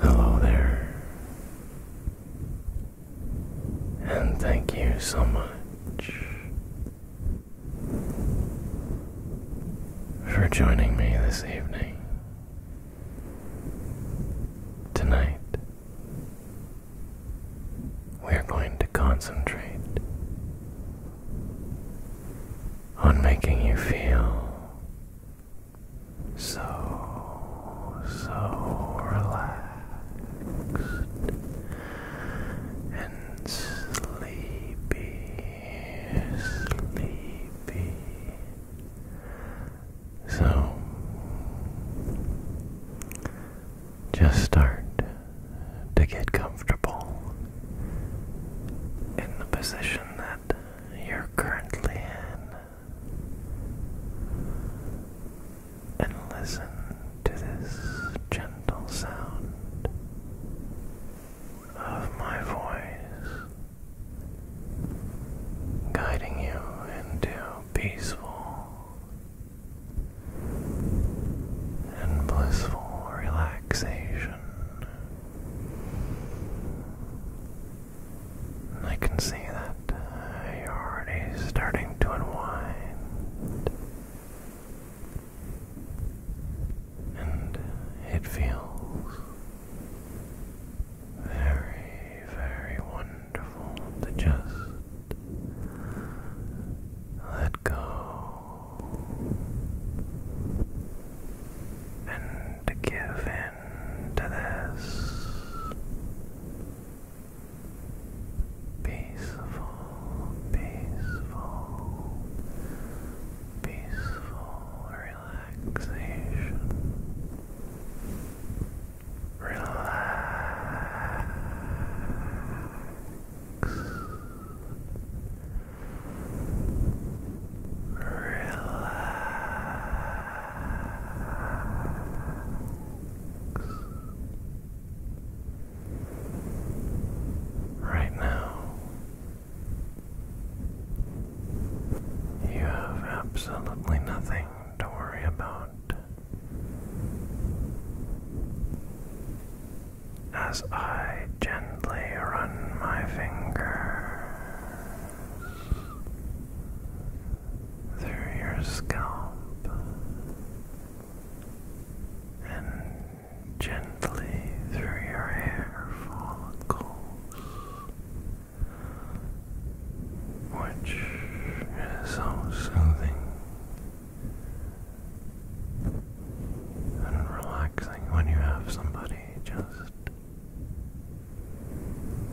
Hello there, and thank you so much for joining me this evening Tonight, we are going to concentrate on making you feel so, so relaxed and sleepy, sleepy. So, just start to get comfortable in the position that you're currently in and listen to this gentle sound of my voice guiding you into peaceful and blissful relaxation. I can see that uh, you're already starting to unwind, and it feels very, very wonderful to just let go and give in to this peaceful, peaceful, peaceful relaxation. Relax. Relax. Right now, you have absolutely nothing to worry about. As I gently run my finger through your scalp and gently through your hair follicles which is so soothing and relaxing when you have somebody just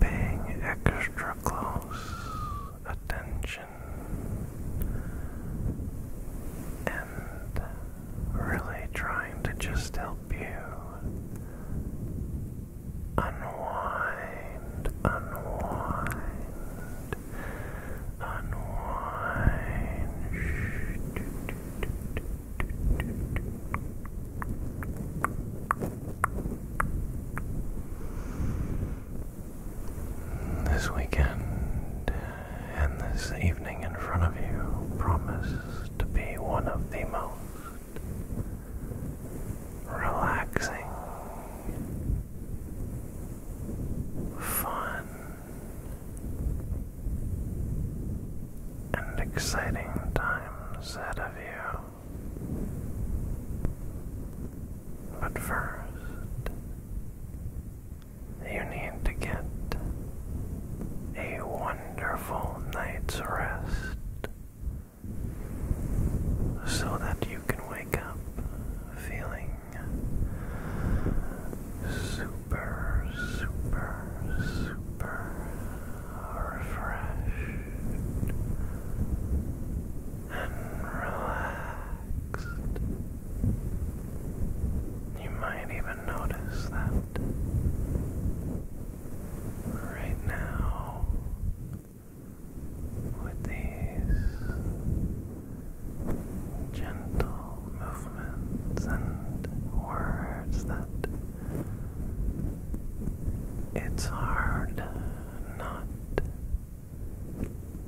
paying extra close attention and really trying to just help you unwind, unwind, unwind. This weekend and this evening in front of you promise to be one of the most relaxing, fun, and exciting times ahead of you. But first, you need to get a wonderful night's rest so that you can wake up feeling super, super, super refreshed and relaxed. You might even notice that right now with these gentle movements and words that it's hard not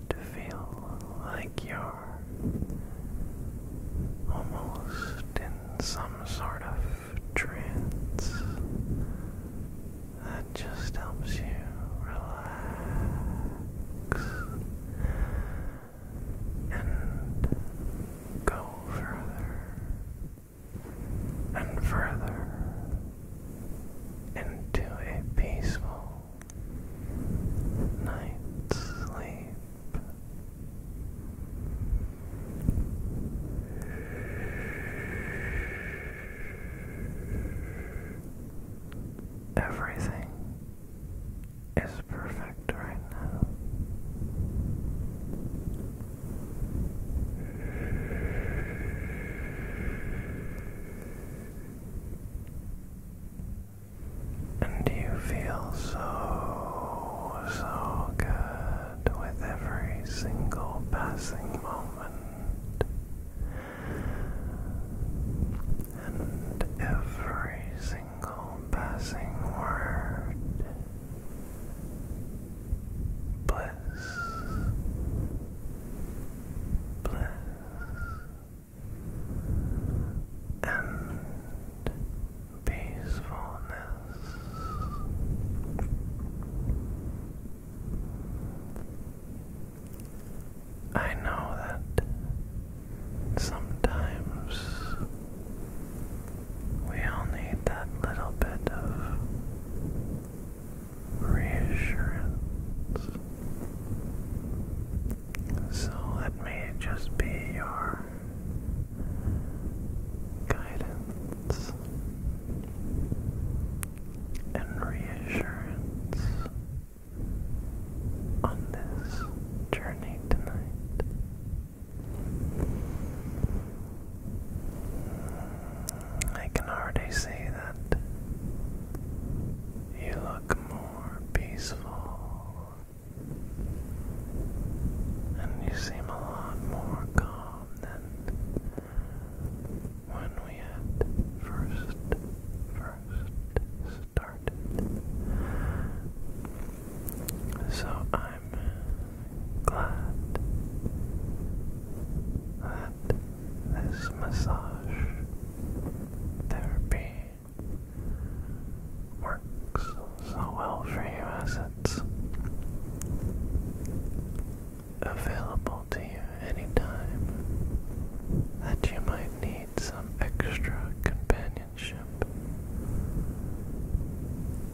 to feel like you're almost in some sort of trance that just helps you relax and go further and further into a peaceful night's sleep. Everything is perfect right now. And you feel so, so good with every single passing moment and every single passing word. Bliss, bliss, and peacefulness. I know that sometimes we all need that little bit of reassurance. So let me just be your guidance and reassurance on this journey tonight. I can already see that you look more peaceful and you seem a lot more calm than when we had first, first started. So I'm glad that this massage therapy works so well for you as it's available to you anytime that you might need some extra companionship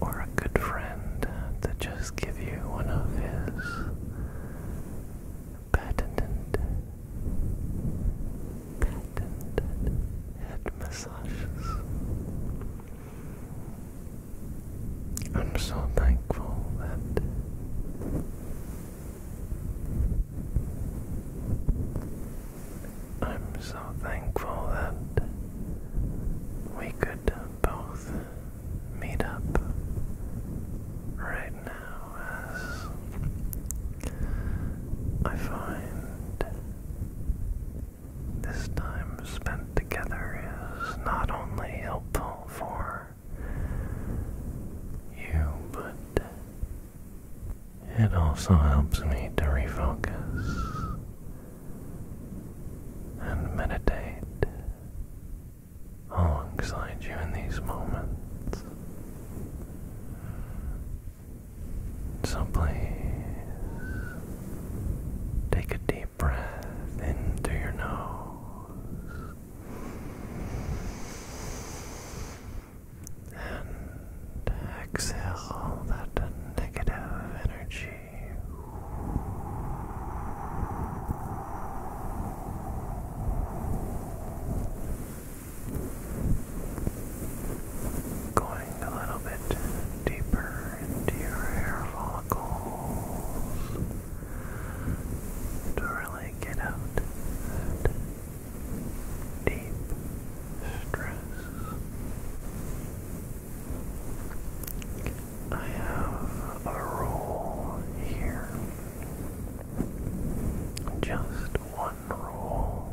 or a good friend to just give you one of his patented, patented head massages. I'm so thankful that I'm so thankful that we could both meet up right now as I find this time spent together is not only helpful for you, but it also helps me to refocus and meditate alongside you in these moments. So please take a deep deep breath in through your nose and exhale that negative energy. Going a little bit deeper into your hair follicles to really get out that deep stress. I have a rule here. Just one rule.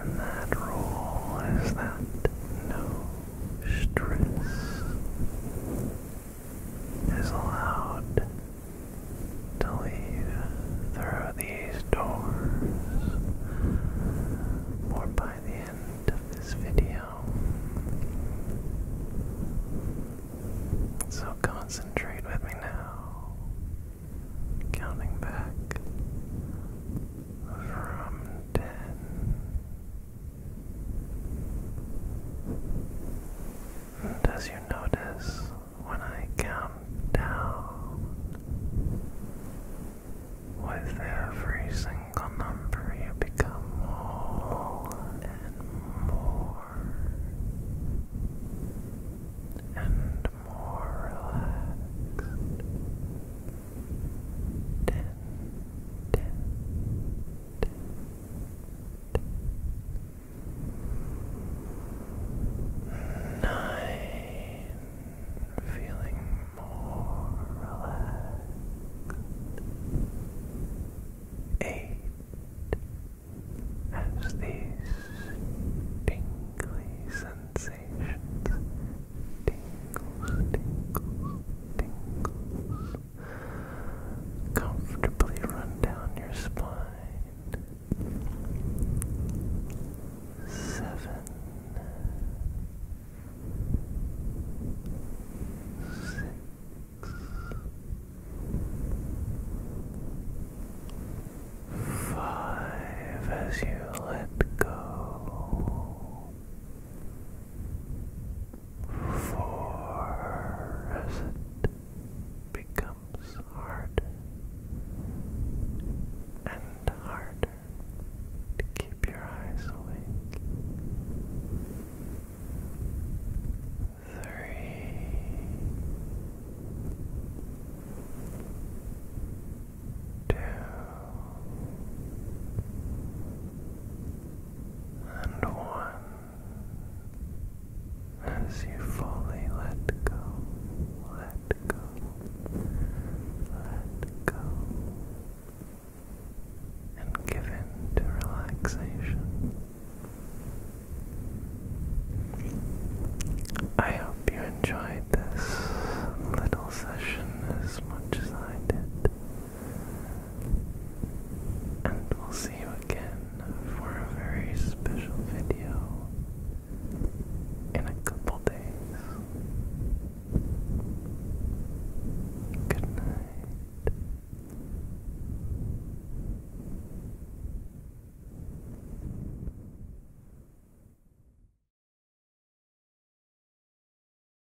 And that rule is that no stress is allowed to leave through these doors or by the end of this video. So concentrate with me now, counting back from ten and you notice, when I count down, with every single number, you become more and more and more relaxed ten, ten, ten, ten. nine, feeling more relaxed, eight, as these tingly sensations tingles, tingles, tingles comfortably run down your spine. Seven, six, five as you let go for as it becomes harder and harder to keep your eyes awake. Three. Two and one as you fully let go, let go, let go, and give in to relaxation. I hope you enjoyed this little session as much as I did. And we'll see you again for a very special video in a couple days. Good night.